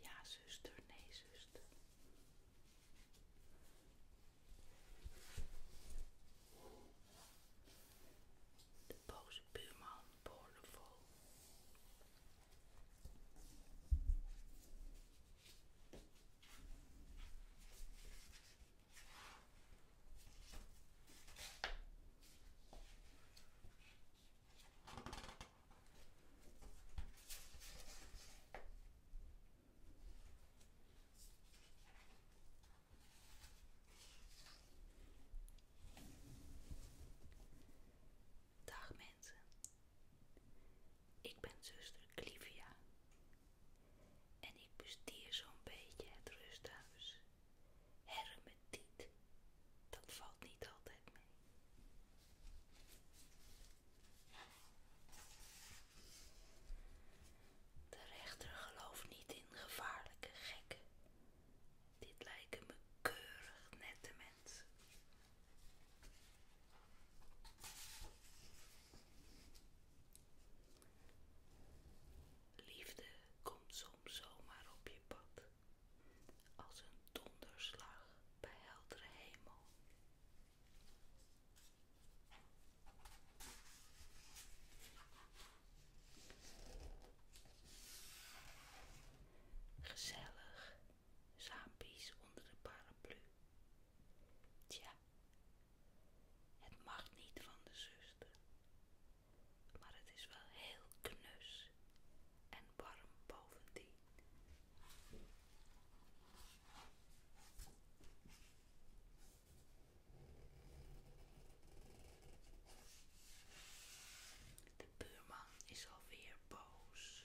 Ja, zuster, nee, zuster. De boze buurman boorde vol. Dag mensen, ik ben zuster Clivia en ik bestier zo'n beetje het rusthuis. Hermetiet, dat valt niet altijd mee. De rechter gelooft niet in gevaarlijke gekken. Dit lijken me keurig nette mensen. Liefde komt soms zomaar op je pad, als een donderslag bij heldere hemel. Gezellig, saampies onder de paraplu. Het mag niet van de zuster, maar het is wel heel knus en warm bovendien. De buurman is alweer boos.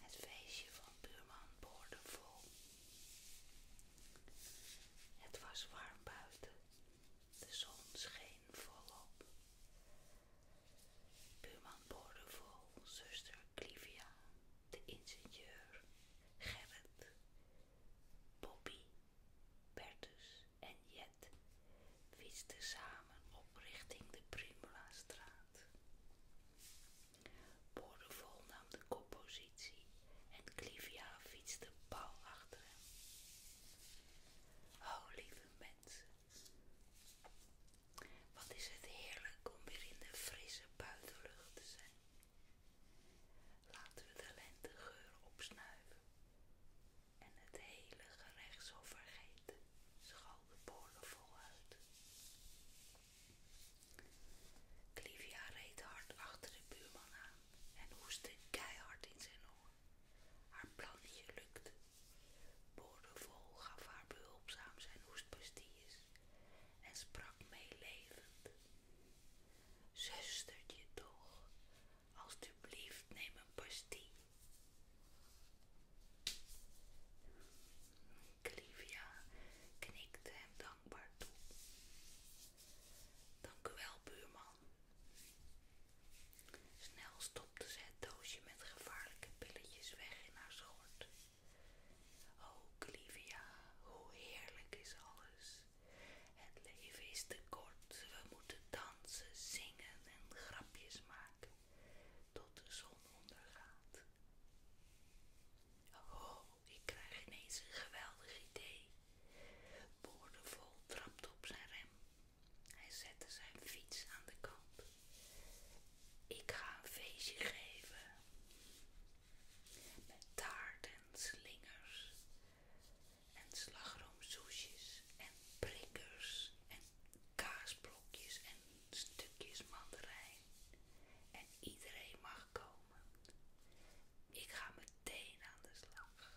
Het feestje van buurman boorde vol. Het was warm buiten. De zon scheen volop. Buurman Boordevol, zuster Clivia, de ingenieur Gerrit, Poppy, Bertus en Jet fietsten samen op richting de Primula-straat. Boordevol nam de koppositie en Clivia fietste pauw achter hem. Oh, lieve mensen, wat is het heerlijk om weer in de frisse buitenlucht te zijn. Laten we de lentegeur opsnuiven en het hele gerecht zo vergeten, schal de boorden uit. Clivia reed hard achter de buurman aan en hoestte keihard in zijn haar plannetje lukte. Boordevol gaf haar behulpzaam zijn hoestpastilles en sprak meelevend. Zustertje toch, alstublieft neem een pastille. Clivia knikte hem dankbaar toe. Dank u wel, buurman, Snel stopte ze het doosje met gevaarlijke pilletjes weg in haar schort. Oh, Clivia, hoe heerlijk is alles. Het leven is te kort. We moeten dansen, zingen en grapjes maken tot de zon ondergaat. Oh, ik krijg ineens een geweldig idee. Boordevol trapt op zijn rem hij zette zijn fiets aan de kant. Ik ga een feestje geven. Met taart en slingers. En slagroomsoesjes. En prikkers. En kaasblokjes. En stukjes mandarijn. En iedereen mag komen. Ik ga meteen aan de slag.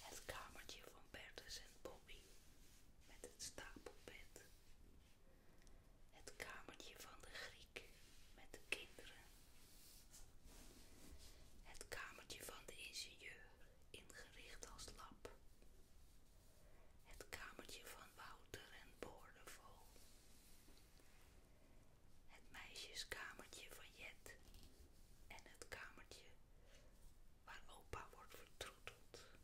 Het kamertje van Bertus en Bobby met het stapelbed. Het kamertje van de Griek met de kinderen. Het kamertje van de ingenieur ingericht als lab. Het kamertje van Wouter en Boordevol het meisjeskamertje van Jet en het kamertje waar opa wordt vertroeteld.